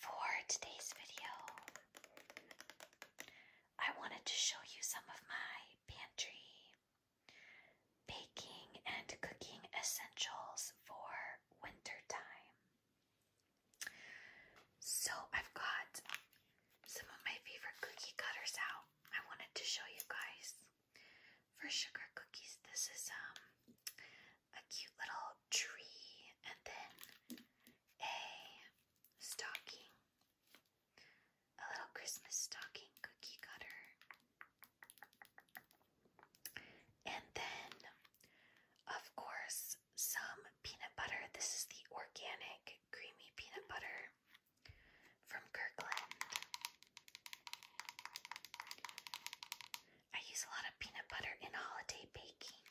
for today's video, I wanted to show you some of my pantry baking and cooking essentials for winter time. So I've got some of my favorite cookie cutters out. I wanted to show you guys. For sugar cookies, this is um a cute little tree and then a stocking, a little Christmas stocking cookie cutter, and then, of course, some peanut butter. This is the organic creamy peanut butter from Kirkland. I use a lot of peanut butter in holiday baking.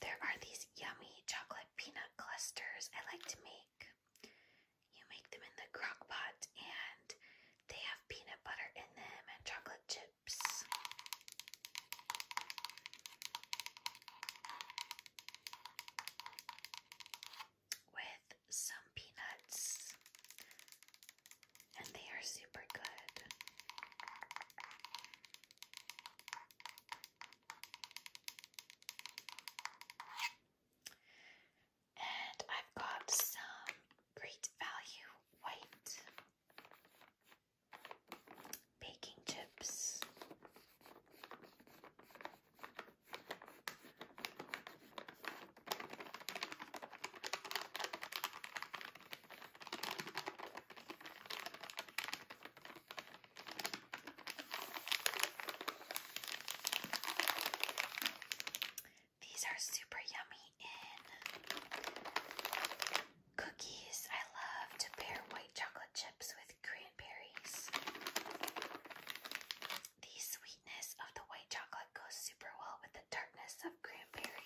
There are these yummy chocolate peanut clusters I like to make. You make them in the crock pot and they have peanut butter in them and chocolate chips. With some peanuts and they are super good. And I've got some great value white baking chips. These are super yummy in cookies. I love to pair white chocolate chips with cranberries. The sweetness of the white chocolate goes super well with the darkness of cranberry.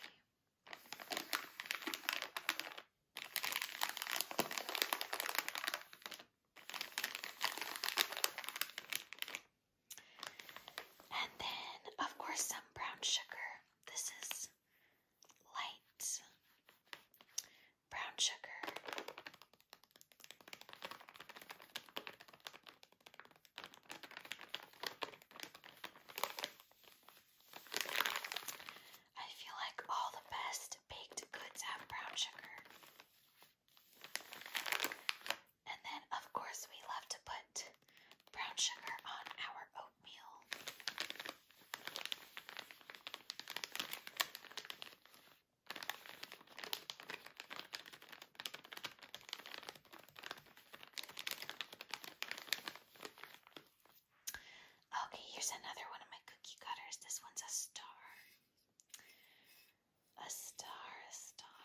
And then, of course, some brown sugar. This is light brown sugar. I feel like all the best baked goods have brown sugar. And then, of course, we love to put brown sugar on our oatmeal. Okay, here's another one of my cookie cutters. This one's a star. A star, a star.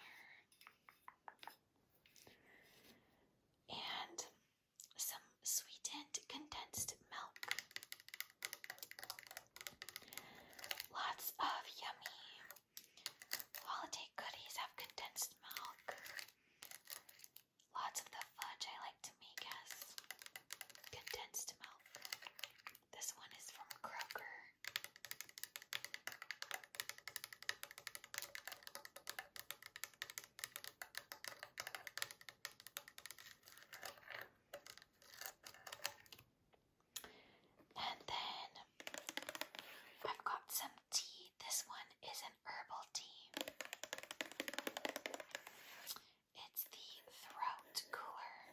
And some sweetened condensed milk. Lots of yummy holiday goodies have condensed milk. Lots of the fudge I like to make has condensed milk. This one is from Kroger. And then I've got some tea. This one is an herbal tea. It's the throat cooler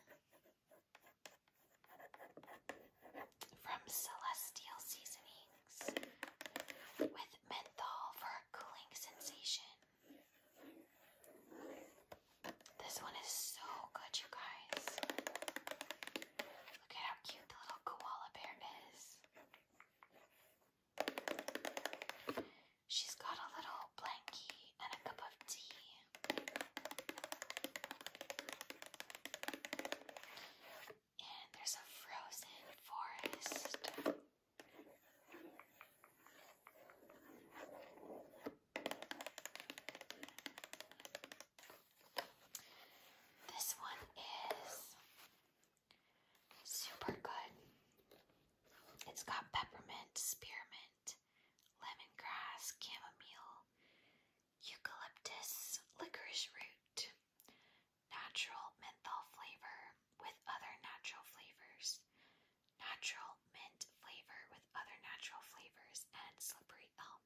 from Celestial Seasonings with menthol for a cooling sensation. This one is so good, you guys. Look at how cute the little koala bear is. She's got a little blankie and a cup of tea. And there's a frozen forest. This one is Super good. It's got peppermint, spearmint, lemon grass, chamomile, eucalyptus, licorice root, natural menthol flavor with other natural flavors, natural mint flavor with other natural flavors, and slippery elm.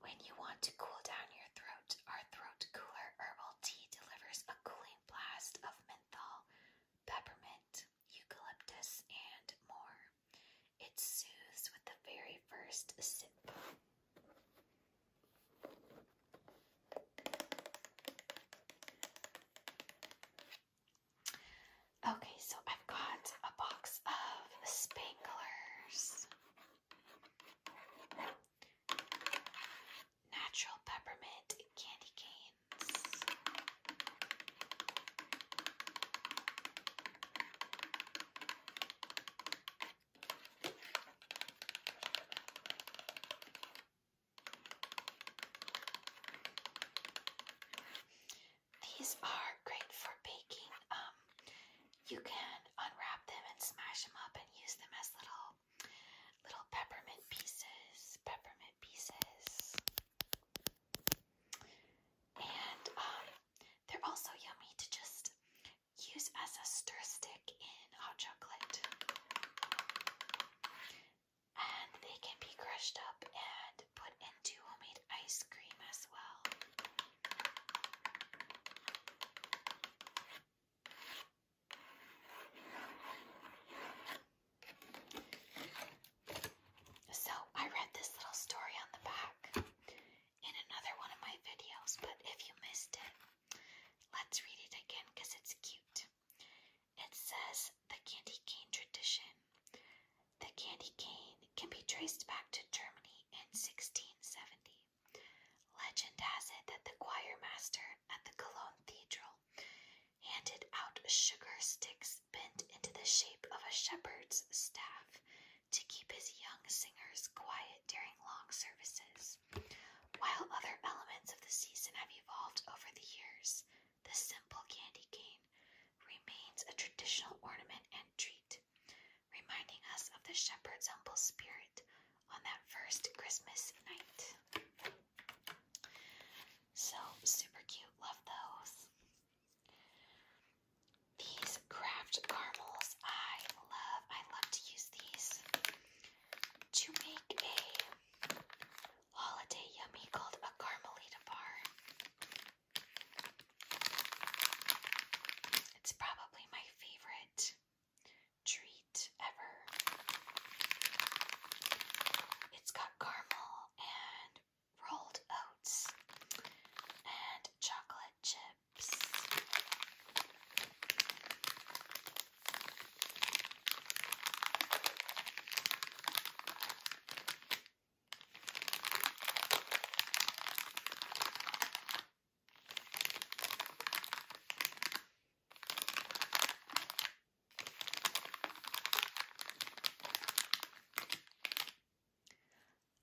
When you want to cool down your throat, our throat cooler herbal tea delivers a cooling blast of menthol, peppermint, eucalyptus, and more. It soothes with the very first sip. Okay, so I've got box of Spanglers, natural peppermint candy canes, these are great for baking. Um, you can unwrap them and smash them up and use them as little little peppermint pieces. Peppermint pieces. And um, they're also yummy to just use as a stir stick in hot chocolate. And they can be crushed up and put into homemade ice cream as well. So, I read this little story on the back in another one of my videos, but if you missed it, let's read it again because it's cute. It says the candy cane tradition the candy cane can be traced back to Germany in 1670. Legend has it that the choir master at the Cologne Cathedral handed out sugar sticks bent into the shape of a shepherd's staff to keep his young singers quiet during long services. While other elements of the season have evolved over the years, the simple candy cane remains a traditional ornament and treat reminding us of the shepherd's humble spirit on that first Christmas night. So super cute, love those. These craft caramels, I love. I love to use these to make a holiday yummy called a caramelita bar. It's probably my favorite treat ever. It's got caramel and rolled oats and chocolate chips.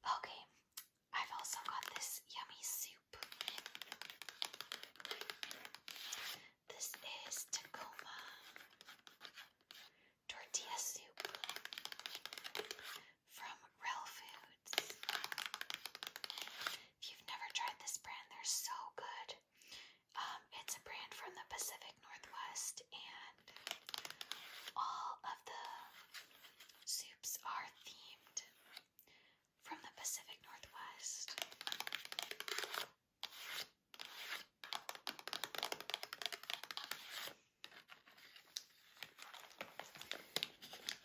Okay, I've also got this yummy soup. This is Tacoma tortilla soup from Real Foods. If you've never tried this brand, they're so good. Um, it's a brand from the Pacific Northwest, and all of the soups are themed from the Pacific Northwest.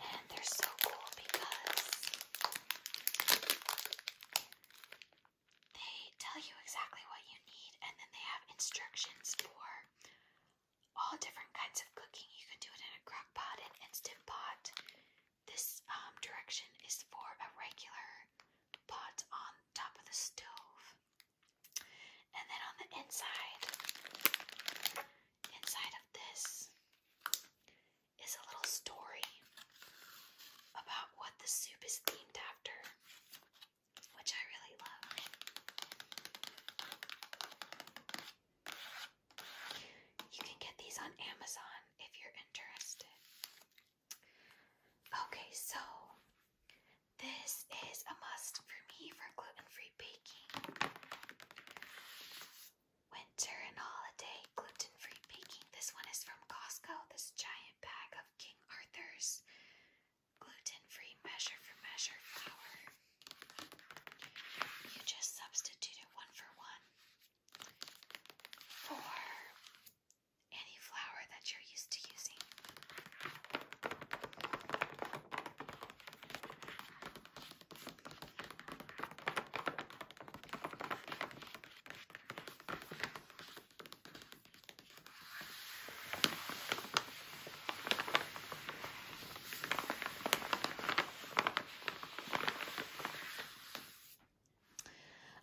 And they're so cool because they tell you exactly what you need, and then they have instructions for all different kinds of cooking. You can do it in a crock pot, an instant pot. This um, direction is for a regular pot on top of the stove. And then on the inside, inside of this is a little story about what the soup is themed after, which I really love. You can get these on Amazon if you're interested. Okay, so this is a must for me for gluten and free baking. Winter and holiday gluten free baking. This one is from Costco. This giant bag of King Arthur's gluten free measure for measure flour. You just substitute one for one for any flour that you're used to using.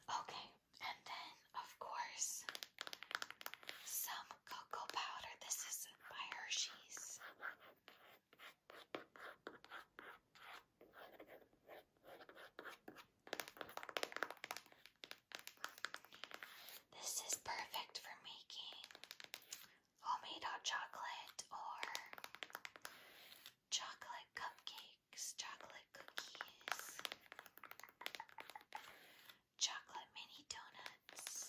Okay, and then of course some cocoa powder. This is by Hershey's. This is perfect for making homemade hot chocolate or chocolate cupcakes, chocolate cookies chocolate mini donuts.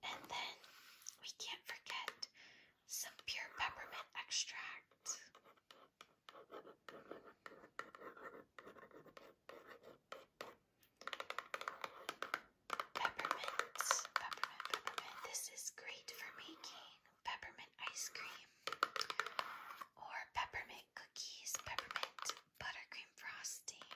And then we can't forget some pure peppermint extract. Peppermint, peppermint, peppermint. This is great for making peppermint ice cream or peppermint cookies, peppermint buttercream frosting.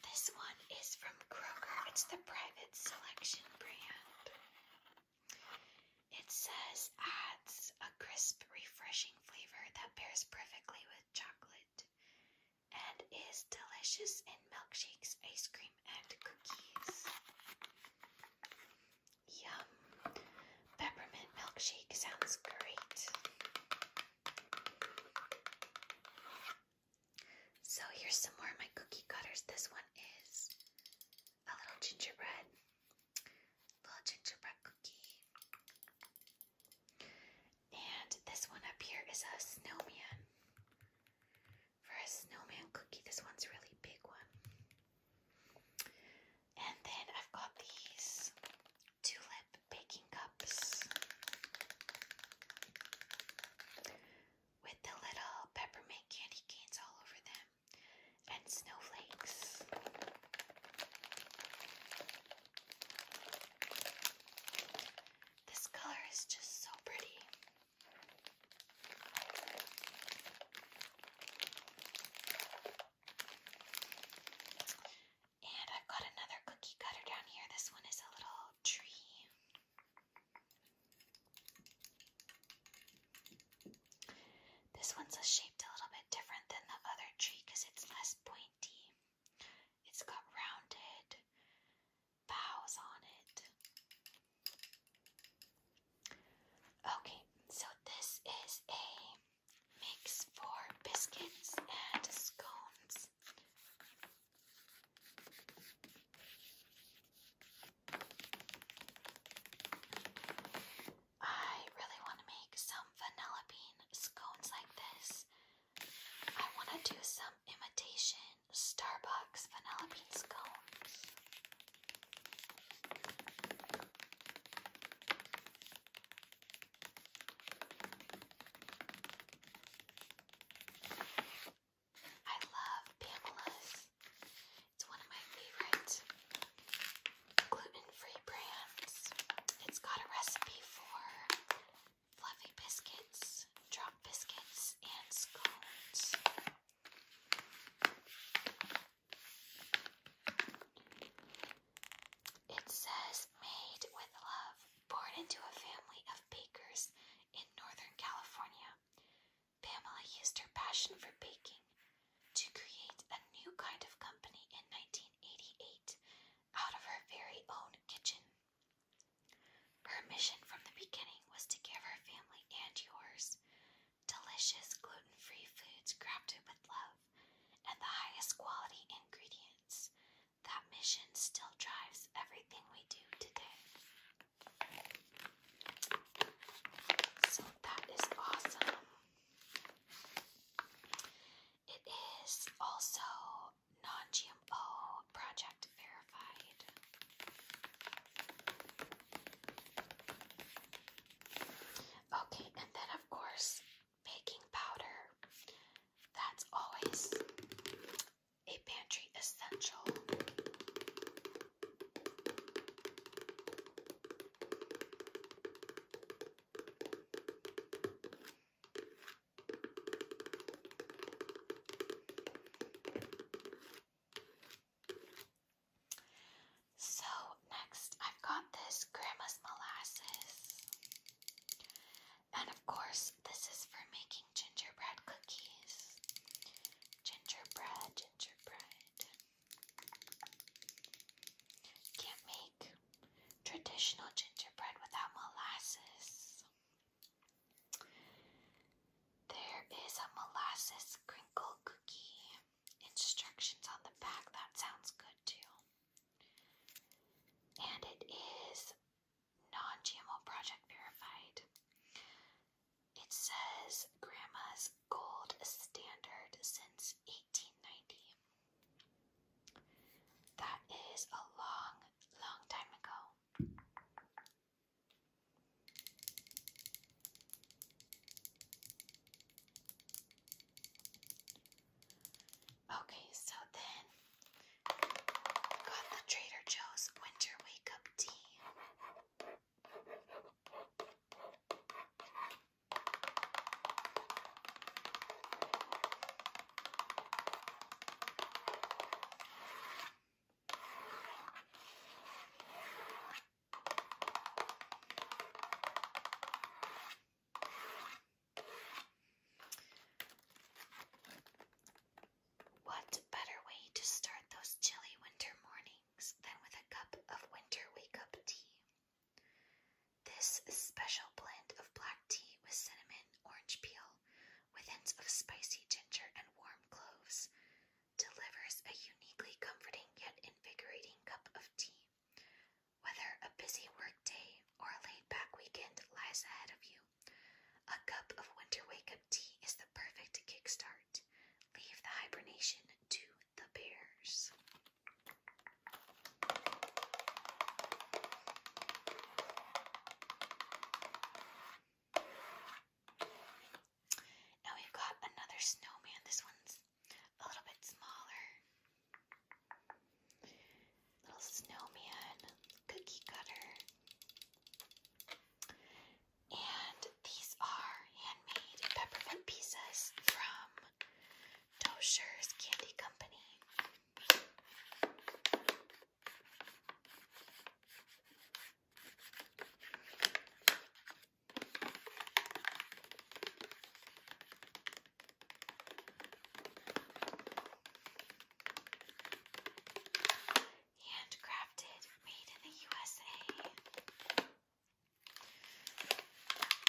This one is from Kroger. It's the private selection brand. It says adds a crisp, refreshing flavor that pairs perfectly with chocolate and is delicious in milkshakes, ice cream, and cookies. Yum. Peppermint milkshake sounds great. So here's some more of my cookie cutters. This one is a little gingerbread, little gingerbread cookie. And this one up here is a snowman. For a snowman cookie, this one's a really big one. And then I've got these tulip baking cups with the little peppermint candy canes all over them and snowflakes. This color is just so pretty. And I've got another cookie cutter down here. This one is a little tree. This one's shaped a little bit different than the other tree because it's less pointy. It's got rounded bows on it. Okay, so this is a makes for biscuits and scones. I really want to make some vanilla bean scones like this. I want to do some imitation Starbucks vanilla bean scones. I love Pamela's. It's one of my favorite gluten-free brands. It's got a recipe for fluffy biscuits, drop biscuits, and scones. It says, made with love, born into a family of bakers in Northern California. Pamela used her passion for baking to create a new kind of company in 1988 out of her very own kitchen. Her mission from the beginning was to give her family and yours delicious gluten free foods crafted with love and the highest quality ingredients. That mission still drives everything we do today. So that is awesome. It is also non GMO project verified. Okay, and then of course, baking powder. That's always a pantry essential. So, next, I've got this Grandma's Molasses. And of course, this is for making gingerbread cookies. Gingerbread, gingerbread. Can't make traditional gingerbread without molasses. There is a molasses crinkle cookie. Instructions on the back, that sounds good too and it is non-GMO project verified. It says Grandma's Gold Standard since 1890. That is a long, long time ago. Okay, so then got the Trader Joe's winter wake up tea. What better way to start those chilly winter mornings than with a cup of winter wake up tea? This special blend of black tea with cinnamon, orange peel, with hints of spicy ginger and warm cloves delivers a uniquely comforting yet invigorating cup of tea whether a busy workday or a laid back weekend lies ahead of you, a cup of winter wake up tea is the perfect kickstart. Leave the hibernation to the bears. Now we've got another snowman. This one's a little bit smaller. Little snowman, cookie cutter. And these are handmade peppermint pieces from Dosher's Candy Company. Handcrafted, made in the USA.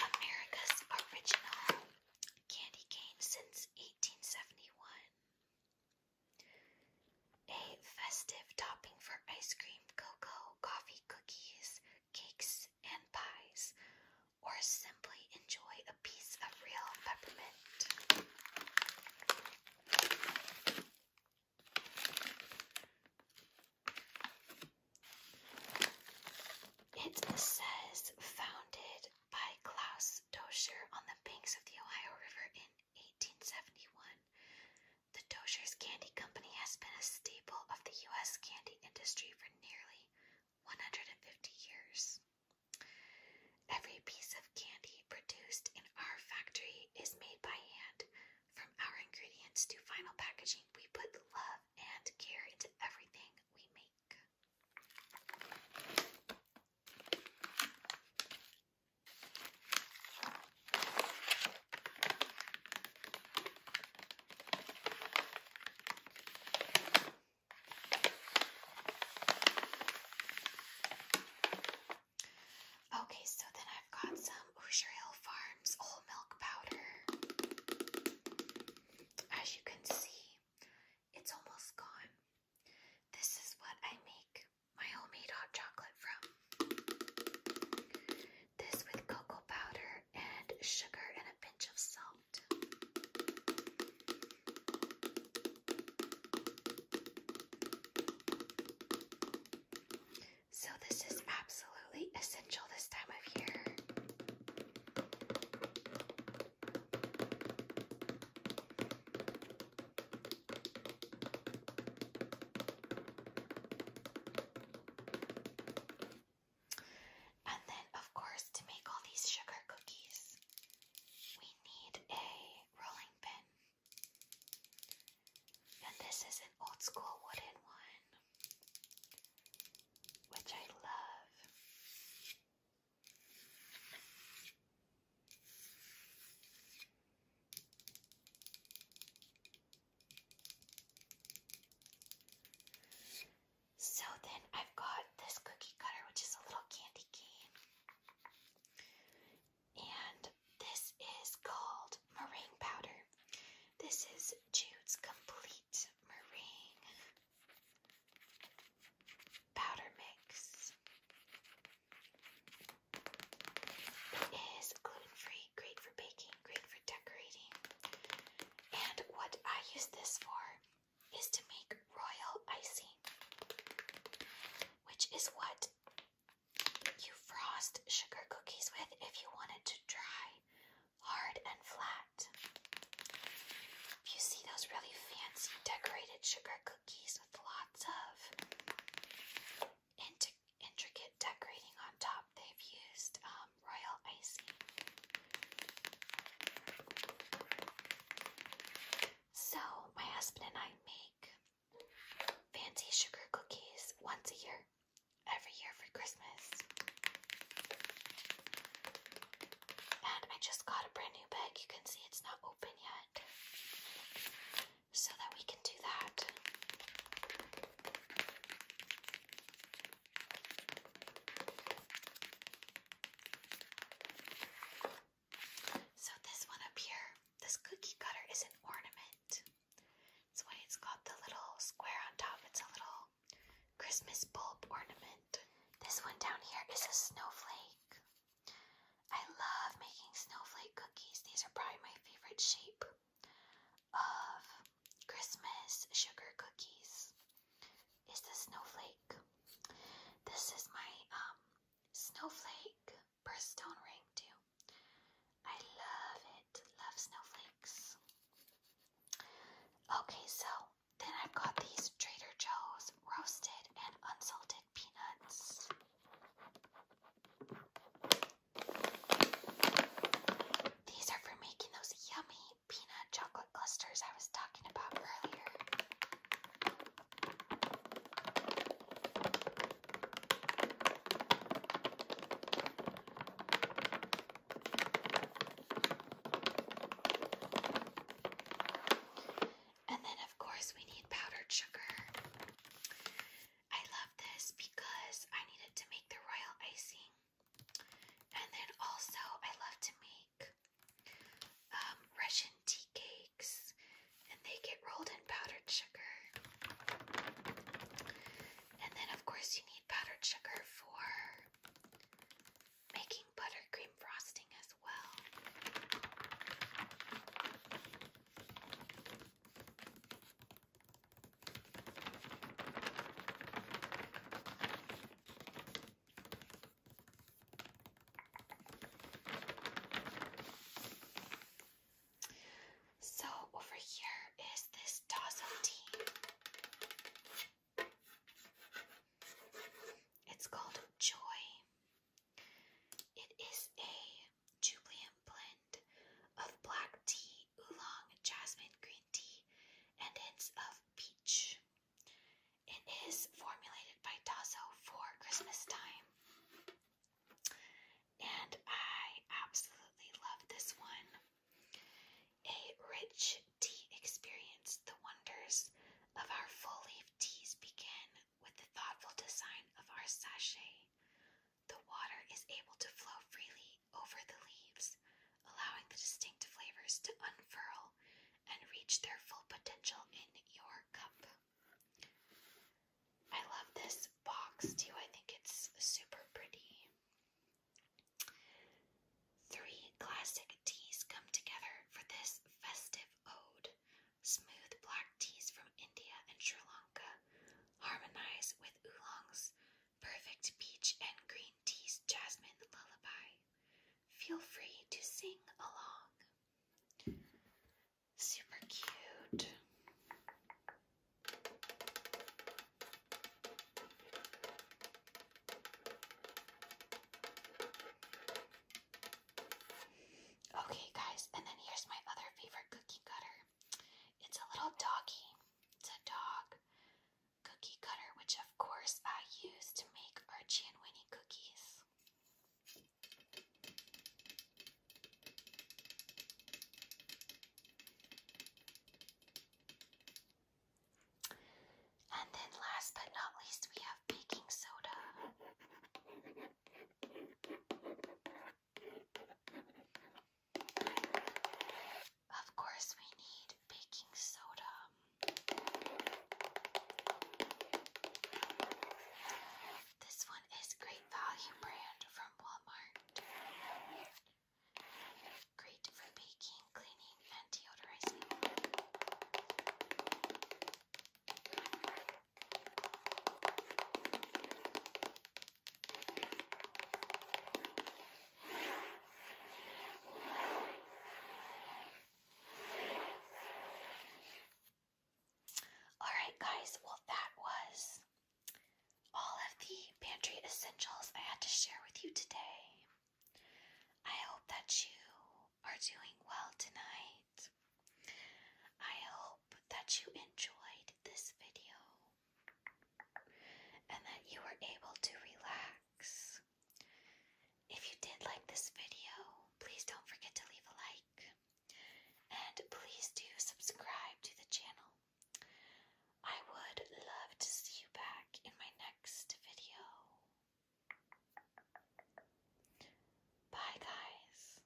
America's original candy cane since 1871. A festive topping for ice cream, cocoa, coffee, cookies, cakes, and pies or simply enjoy a piece of real peppermint. It says founded by Klaus Dozier on the banks of the Ohio River in 1871. The Dozier's Candy Company has been a staple of the U.S. candy industry for nearly 150 years. Every piece of candy produced in our factory is made by hand. From our ingredients to final packaging, we put love and care into everything we make. Okay, so then I've got some Usher Hill Farms whole milk powder. As you can see, it's almost gone. This is what I make my homemade hot chocolate from. This with cocoa powder and sugar and a pinch of salt. So, this is absolutely essential this time of year. And then, of course, to make all these sugar cookies, we need a rolling pin. And this is an old school wooden one, which I love. So then I've got this cookie cutter, which is a little candy cane. And this is called meringue powder. This is Jude's complete meringue powder mix. It is gluten free, great for baking, great for decorating. And what I use this for is to make royal icing, which is what you frost sugar cookies with if you want it to dry hard and flat. If you see those really fancy decorated sugar cookies with lots of intricate decorating on top, they've used um, royal icing. So, my husband and I make fancy sugar cookies once a year, every year for Christmas. And I just got a brand new bag. You can see it's not open yet. So that we can do that. So this one up here, this cookie cutter is an ornament. That's why it's got the little square on top. It's a little Christmas bulb ornament. This one down here is a snowflake. I love making snowflake cookies. These are probably my favorite shape of Christmas sugar cookies is the snowflake. This is my um snowflake birthstone ring too. I love it. Love snowflakes. Okay, so then I've got these Trader Joe's roasted and unsalted peanuts. These are for making those yummy peanut chocolate clusters I was talking about earlier. And then, of course, we need powdered sugar. I love this because I needed to make the royal icing. And then also, I love to make um, Russian tea cakes, and they get rolled in powdered sugar. And then, of course, you need powdered sugar for making buttercream frosting as well. So over here is this Dazzle tea. It's called Joy. It is a jubilant blend of black tea, oolong, jasmine green tea, and hints of of peach. It is formulated by Tasso for Christmas time. And I absolutely love this one. A rich tea experience. The wonders of our full leaf teas begin with the thoughtful design of our sachet. The water is able to flow freely over the leaves, allowing the distinct flavors to unfurl and reach their full potential in your cup. I love this box too, I think it's super pretty. Three classic teas come together for this festive ode. Smooth black teas from India and Sri Lanka harmonize with oolongs Perfect peach and green tea's jasmine lullaby. Feel free to sing along. Super cute. Okay, guys, and then here's my other favorite cookie cutter. It's a little doggy. It's a dog cookie cutter, which of course I use to make Archie and Winnie cookies. And then last but not least, we have baking soda. Of course, we need baking soda. This one is Great Value brand from Walmart. Great for baking, cleaning, deodorizing. All right, guys. Well, that was all of the pantry essentials I had to share with you today. I hope that you are doing well tonight. I hope that you enjoyed this video and that you were able to relax. If you did like this video, please don't forget to leave a like. And please do subscribe to the channel. I would love to see you back in my next video. Bye, guys.